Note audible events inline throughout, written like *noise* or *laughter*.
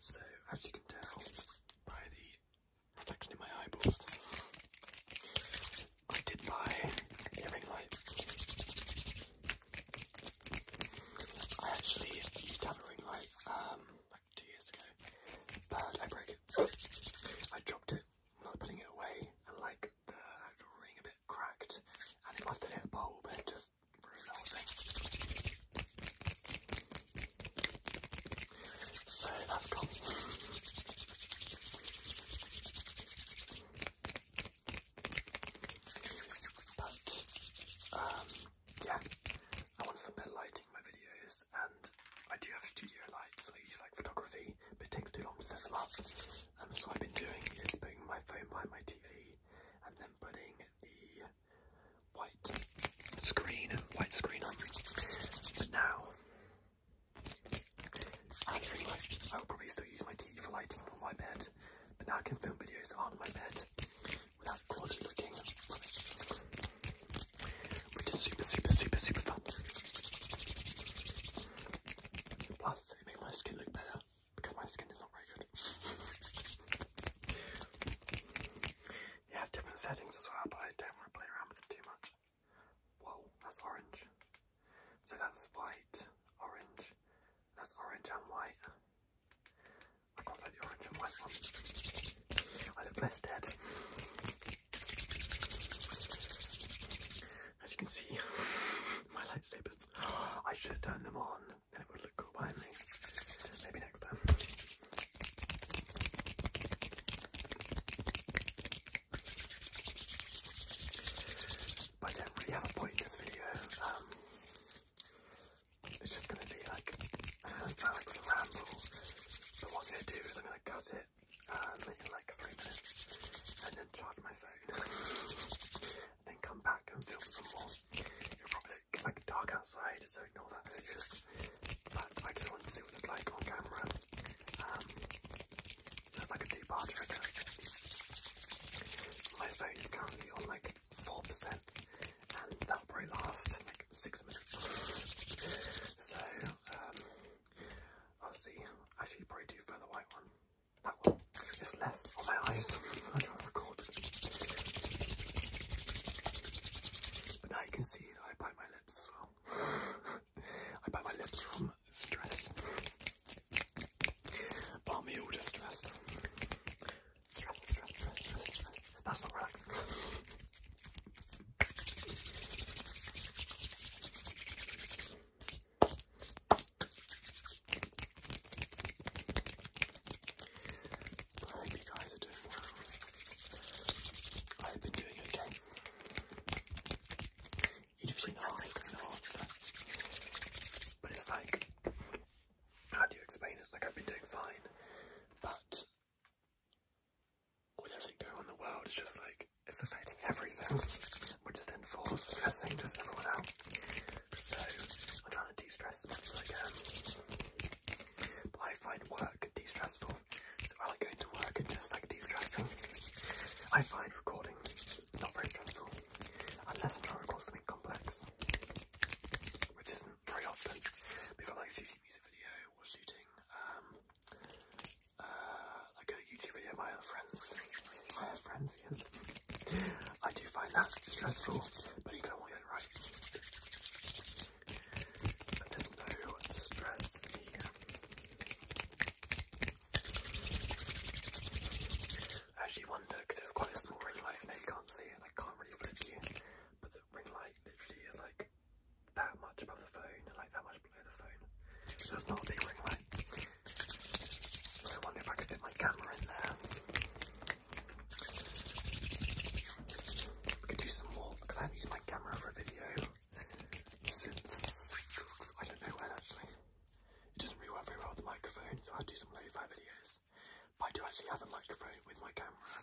So, as you can tell by the reflection in my eyeballs, I did buy hearing light I actually used have a ring light um, like two years ago, but I broke I dropped it when I was putting it away, and like the ring a bit cracked, and it must have hit bulb and just ruined the whole thing. So that's gone. But um yeah, I want some better lighting in my videos, and I do have studio lights. I usually like photography, but it takes too long to set them up. Um, so what I've been doing is putting my phone behind my TV, and then putting the white screen, white screen on. But now, I will probably still use my TV for lighting on my bed, but now I can film videos on my bed without quality looking, which is super, super, super, super fun. Plus, it makes my skin look better because my skin is not very good. you have different settings as well, but I don't want to play around with it too much. Whoa, that's orange. So that's white, orange, that's orange and white. I can't the orange and white I look less dead. As you can see, *laughs* my lightsabers. *gasps* I should have turned them on, and it would look cool behind me. Maybe next time. I don't really have a point in this video. Um, it's just going to be like hands out ramble. But what I'm going to do is I'm going to cut it um, in like three minutes and then charge my phone. *laughs* then come back and film some more. it probably like dark outside, so ignore that notice. But I just wanted to see what it looked like on camera. Um, it's like a my phone is currently on like 4% and that probably last like 6 minutes. So, um, I'll see. Actually, probably do further white one. That one. It's less on my eyes. I try to record. But now you can see that I bite my lips as well. *laughs* I bite my lips from stress. Palm you to stress. Stress, stress, stress, stress, stress. That's what works. I hope you guys are doing well. I've been doing okay usually know But it's like, how do you explain it? Like I've been doing fine, but with everything going on in the world, it's just like it's affecting everything, which then for stressing just everyone out. So I'm trying to de-stress as much as I can. find work de-stressful, so I going to work and just like de-stressing. I find recording not very stressful unless I'm trying something complex, which isn't very often. But like shooting music video or shooting um, uh, like a YouTube video, my other friends, my other friends, yes, I do find that stressful, but even I want get it right. there's no stress here. I actually wonder, because it's quite a small ring light and you can't see it, I can't really put it to but the ring light literally is like that much above the phone and like that much below the phone. it's not a big ring light. I wonder if I could fit my camera in there. We could do some more, because I haven't used my camera for a video since I don't know when actually. It doesn't really work very well with the microphone, so i do some lo-fi videos. I do actually have a microphone with my camera,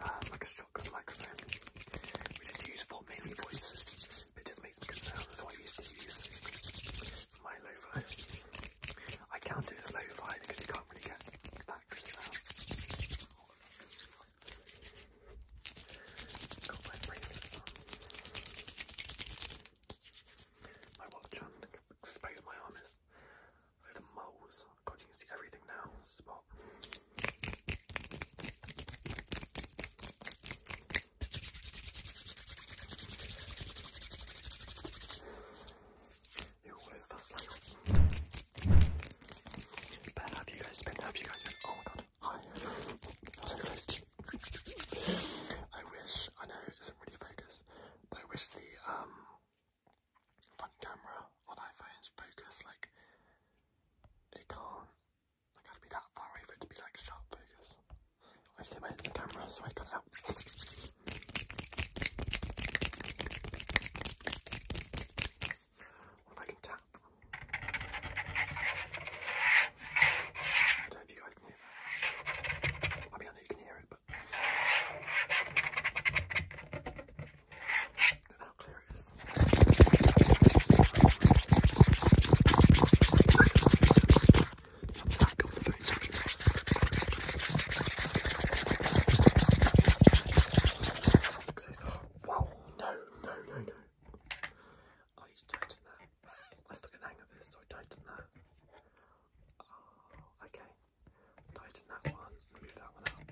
uh, like a shotgun microphone, which is used for mainly voices, it just makes me good sounds, so I used to use for my lo-fi. I count it as lo-fi because you can't really get that good sound my watch on. Expose my armors. Over the moles. God, you can see everything now. Spot. Ooh, what is you guys been? Have you guys Oh my god i I wish, I know it doesn't really focus, but I wish the um, front camera on iPhones focus, like, it can't, like, I'd be that far away for it to be, like, sharp focus. I just hit my head the camera, so I cut it I can tap? I don't know if you guys can hear that. I mean, I you can hear it, but how clear it is. Wow, no, no, no, no. I oh, need to tighten that. *laughs* let still look at hang of this. So I tighten that. Oh, okay. Tighten that one. Move that one up.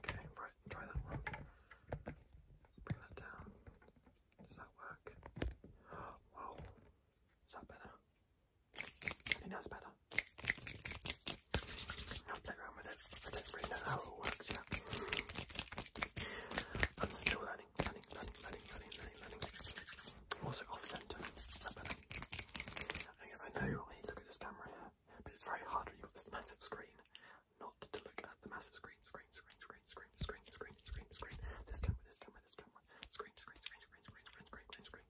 Okay, right. Try that one. Bring that down. Does that work? *gasps* Whoa. Is that better? I think that's better. I'll play around with it. I don't really know how it works yet. I'm still learning, learning, learning, learning, learning, learning, learning. I'm also off centre. I guess I know when you look at this camera here, but it's very hard when you've got this massive screen not to look at the massive screen, screen, screen, screen, screen, screen, screen, screen, screen, this camera, this camera, this camera, screen, screen, screen, screen, screen, screen, screen, screen.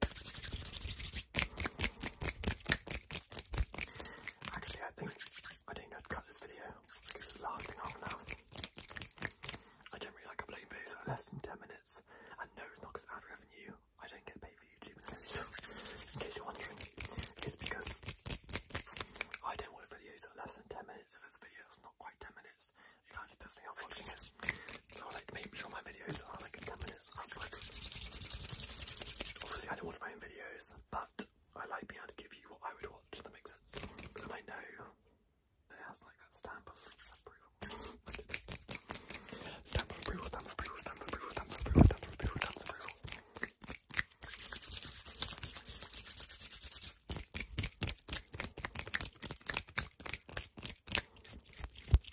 Actually, I think I didn't know to cut this video because it's lasting on now. I don't really like uploading videos that are less than 10 minutes, and no, it's not because ad revenue. I don't get paid for YouTube, *laughs* in case you're wondering. It's because I don't want videos that are less than 10 minutes. If it's a video that's not quite 10 minutes, it kind of puts me off watching it. So I like to make sure my videos are like 10 minutes. Outside. Obviously, I don't want to videos, but I like being able to give you what I would watch, that makes sense. I know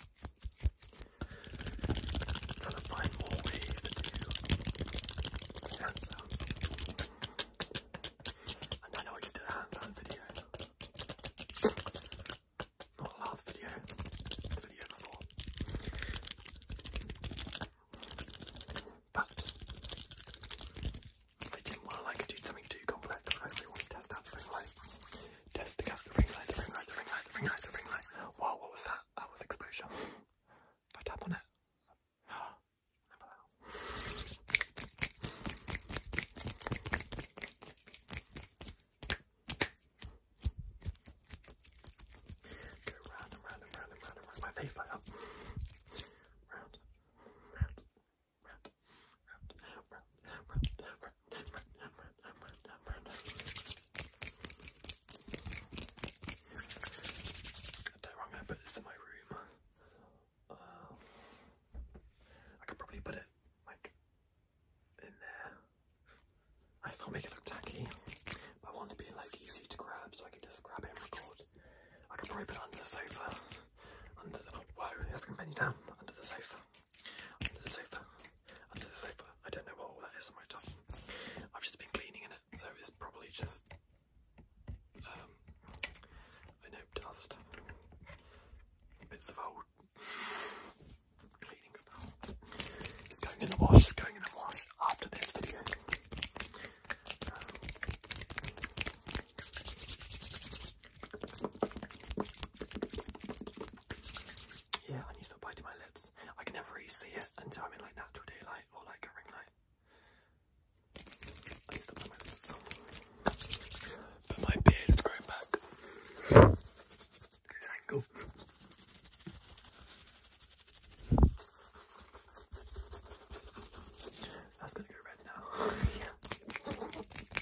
Trying to find more ways to do hand sounds. And I I just did a hand sound video. Not last video, the video before. But I didn't want to like do something too complex, so I really want to test that ring light. Test the ring light, the ring light, the ring light, the ring light, the ring light. Wow, what was that? hours oh, exposure. If I tap on it. Go round and round and round and round and round. My face like round, round, round, round, round, round, round, round don't know where I'm going to put this in my room. I could probably put it like in there. I just can't make it look tacky, I want to be like easy to grab so I can just grab it and record. I could probably put it under the sofa, under the, whoa, it's going to bend you down, under the sofa. Under the sofa. Under the sofa. I don't know what all that is on my tongue. I've just been cleaning in it, so it's probably just um, I know dust. Bits of old cleaning stuff. It's going in the wash, it's going in the wash after this video. Um, yeah, I need to apply to my lips. I can never really see it until I'm in like natural daylight or like a ring light. But my beard is growing back. This angle. That's gonna go red now. *laughs* yeah.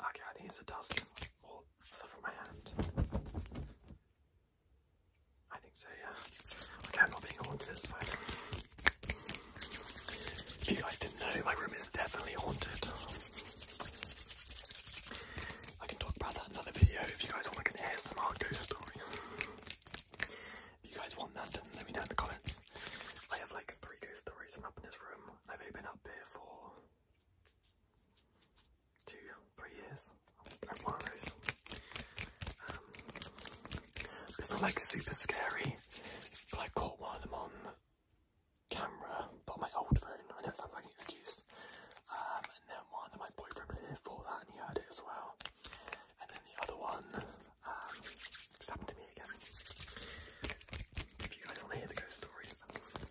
Okay, I think it's the dust or stuff from my hand. I think so, yeah. Okay, I'm not being haunted, it's fine. If you guys didn't know, my room is definitely haunted. I can talk about that another video if you guys want like an ASMR ghost story. If you guys want that, let me know in the comments. I have like three ghost stories from up in this room. I've been up here for two, three years. I've one of those. it's not like super scary, but I caught one of them on camera, but my old phone. I know it sounds like an excuse. Um, and then one that my boyfriend was here for that, and he heard it as well. And then the other one, um, happened to me again. If you guys want to hear the ghost stories,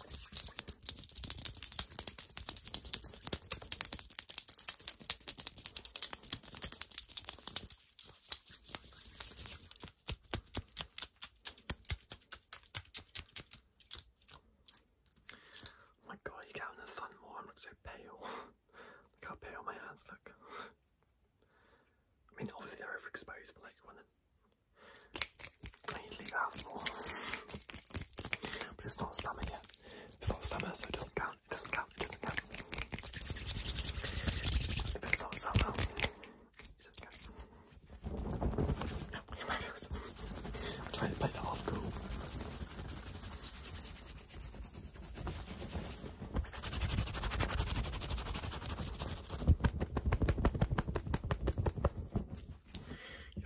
Oh my god, you get out the sun more, I'm not so pale. *laughs* look how pale my hands look. I mean, obviously they're overexposed, but like when the mainly that's more. But it's not summer yet. It's not summer, so it doesn't count. It doesn't count. It doesn't count. If it's not summer, it doesn't count. I'm trying to play the off cool.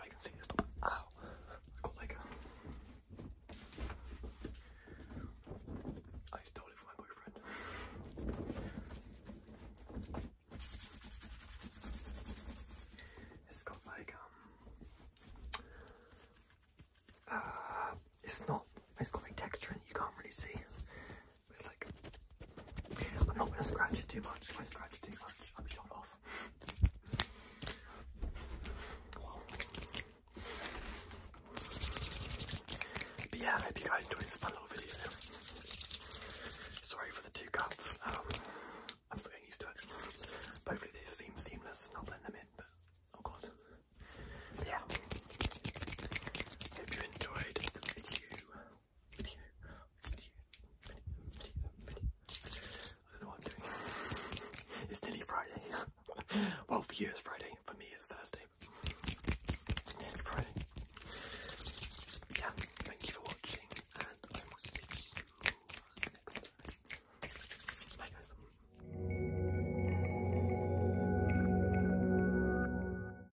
I can see this. Ow! Uh, I got like a... I stole it from my boyfriend. It's got like um uh it's not it's got like texture and you can't really see like I'm not gonna scratch it too much. If I scratch it too much, I'm shot off. But yeah, I hope you guys enjoyed this little video. Sorry for the two cuts. Um, I'm still getting used to it. Hopefully they seem seamless, not blend them in, oh god. yeah. Hope you enjoyed the video. It's nearly Friday. *laughs* well, for you it's Friday, for me it's Thursday. Friday. Yeah, thank you for watching, and I will see you next time. Bye, guys.